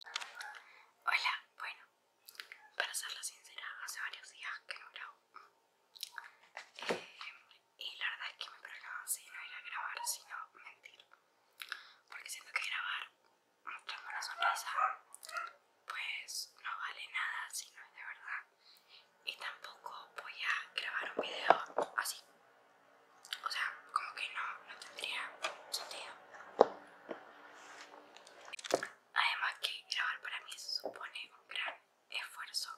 Hola, bueno, para serla sincera, hace varios días que no grabo. Eh, y la verdad es que mi programa así no a grabar, sino mentir. Porque siento que grabar mostrando una sonrisa, pues no vale nada si no es de verdad. Y tampoco voy a grabar un video así. O sea, como que no, tendría sentido. Además que grabar para mí supone un gran esfuerzo,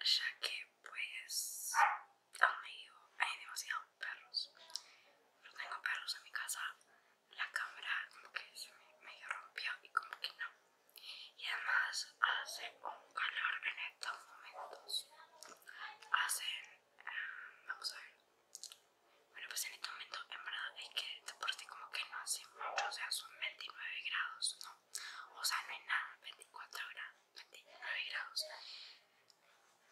ya que pues hay demasiados perros. No tengo perros en mi casa, la cámara como que se me rompió y como que no. Y además hace un calor en estos momentos. Hacen Vamos a ver. Bueno, pues en este momento, en verdad, es que de por sí como que no hace mucho, o sea, son 29 grados, ¿no? O sea, no hay nada, 24 grados, 29 grados.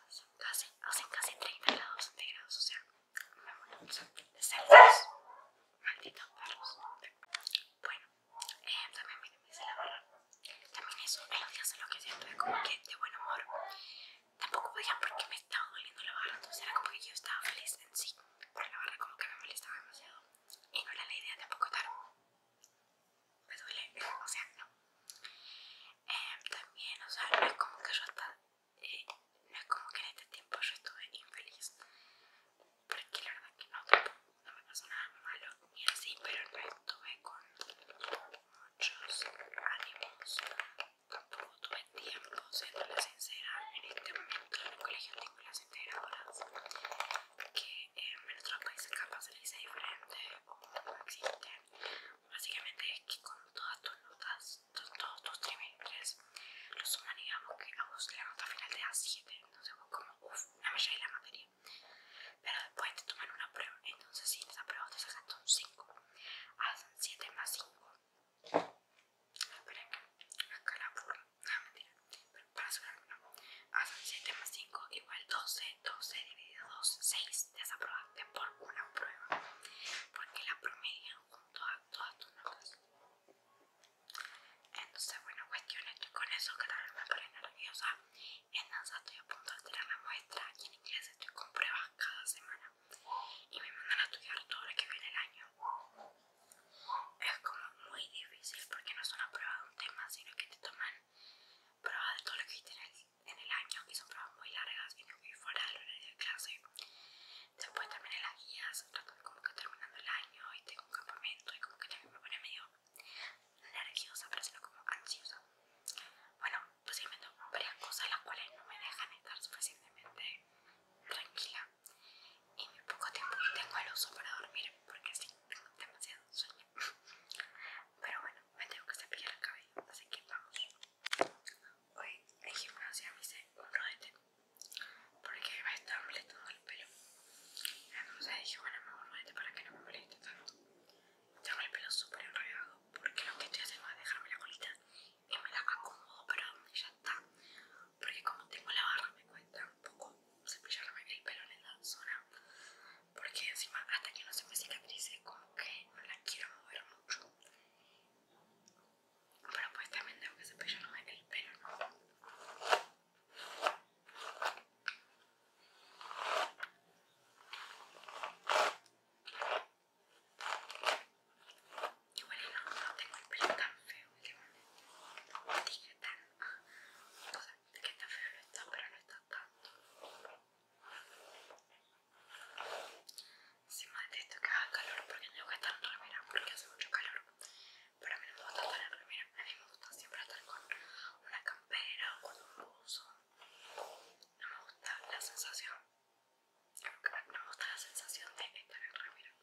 Hacen casi, hacen casi 30 grados centígrados, o sea, me muero, un de cerdos. Malditos perros. Bueno, eh, también dice la barra, También eso, en los días en los que siempre como que de buen humor, tampoco podía porque me estaba doliendo la barra, entonces era como que yo estaba feliz en sí, pero la barra como que me molestaba demasiado y no era la idea tampoco estar, me duele, o sea, no. Em, también, o sea, no es como que yo estaba, eh, no es como que en este tiempo yo estuve infeliz, porque la verdad que no, no me pasó nada malo ni así, pero no estuve con muchos ánimos, tampoco tuve tiempo, siendo la sincera, en este momento en el colegio tengo las integradoras, que en otros países capaz se le dice diferente o no existen, básicamente es que con todas tus notas, todos tus trimestres, Los suman digamos que a vos la nota final de a 7, no sé como, uff, la me de la materia pero después te toman una prueba entonces si en esa prueba te un 5 hacen 7 más 5 Esperen acá, la burla ah, para no hacen 7 más 5 igual 12 12 dividido 2 6 desaprobaste por una prueba porque la promedio junto a todas tus notas entonces, bueno, cuestión es con eso que también me pone nerviosa, en danza estoy a punto de tirar la muestra y en inglés estoy con pruebas cada semana y me mandan a estudiar todo lo que viene el año. Es como muy difícil porque no es una prueba de un tema, sino que te toman pruebas de todo lo que viste en el, año y son pruebas muy largas y muy fuera del horario de clase. Después también en las guías, de como que terminando el año Hoy y tengo un campamento y como que también me pone medio nerviosa, pero sino como ansiosa. Bueno, pues sí me tomo varias cosas las cuales no me dejan estar suficientemente tranquila y muy poco tiempo tengo el uso para dormir porque sí, tengo demasiado sueño. Pero bueno, me tengo que cepillar el cabello, así que vamos. Hoy en gimnasia me hice un rodete porque me estar molestando el pelo. Entonces dije, bueno, mejor vete para que no me moleste tanto. Tengo el pelo súper enredado porque lo que estoy haciendo es dejarme la colita y me la acomodo para donde ya está. Porque como tengo la barra me cuesta un poco cepillarme el pelo en la zona. Porque encima hasta que no se me cicatrice como que no la quiero mover mucho. Pero pues también tengo que es el pelo, ¿no? Igual y no, no tengo el pelo tan feo últimamente. Dije tan... Ah, o sea, que está feo no está, pero no está tanto. Si me detesto que haga calor porque tengo que estar en remera porque hace mucho calor. Pero a mí no me gusta estar en remera, a mí me gusta siempre estar con una campera o con un buzo. No me gusta la sensación. No me gusta la sensación de estar en remera.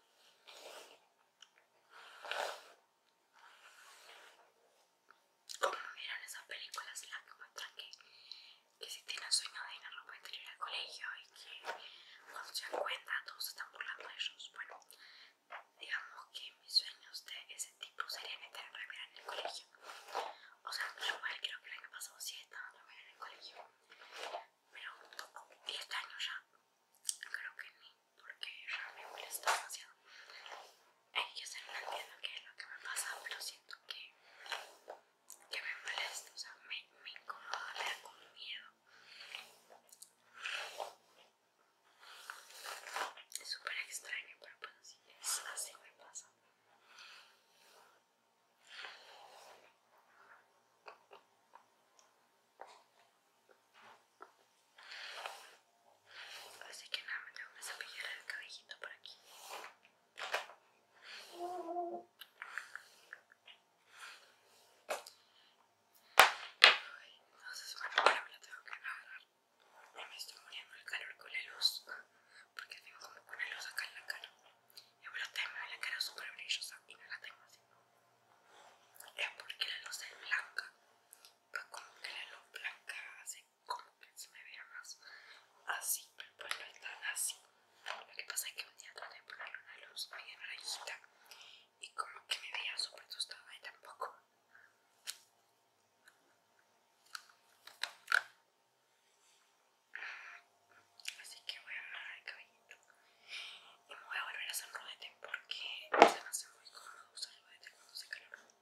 Como miran esas películas las que me que que si tienen sueño de ir a ropa interior al colegio y que cuando se dan cuenta todos están burlando de ellos. Bueno, digamos que mis sueños de ese tipo serían estar en en el colegio. O sea, yo igual creo que el año pasado sí estaba en en el colegio. Pero como 10 años ya, creo que ni, porque ya me molesta demasiado. Eh, yo sé, no entiendo qué es lo que me pasa, pero siento que que me molesta, o sea, me, incomoda, me da miedo. Es súper extraño, pero pues así así me pasa. Así que nada, me tengo que cepillar el cabellito por aquí. Entonces, bueno, ahora me la tengo que agarrar. Me estoy muriendo el calor con la luz. Porque tengo como poner luz acá en la cara. Y bueno, tengo la cara súper brillosa y no la tengo así. Es porque la luz es blanca. Pues como que la luz blanca hace como que se me vea más así, pero pues no es así. Lo que pasa es que un día traté de ponerle una luz media amarillita y como que me veía súper asustada y tampoco. Así que voy a agarrar el cabellito y me voy a volver a hacer rodete porque se me hace muy cómodo usar rodete cuando se calor.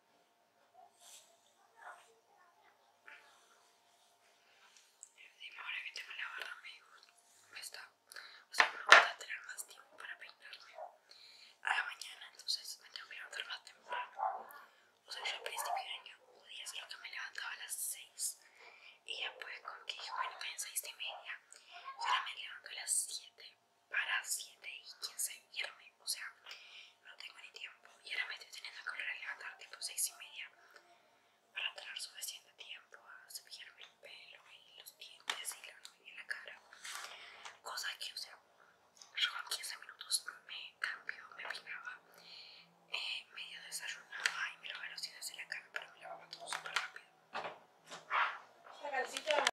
Dime ahora que tengo la barra, amigos. Me está. O sea, me tener más tiempo para peinarme a la mañana, entonces me tengo que levantar más temprano. O sea, yo al principio de año podía día, solo que me levantaba a las 6 y después, pues con que dije, bueno, que esta 6 y media, ahora me levanto a las 7 para 7 y 15 irme, o sea, no tengo ni tiempo y ahora me estoy teniendo que volver a levantar tipo 6 y media para tener suficiente tiempo a cepillarme el pelo y los dientes y la cara, cosa que, o sea, yo en 15 minutos me cambio, me peinaba, eh, medio desayunaba y me lavaba los dientes de la cara, pero me lavaba todo súper rápido.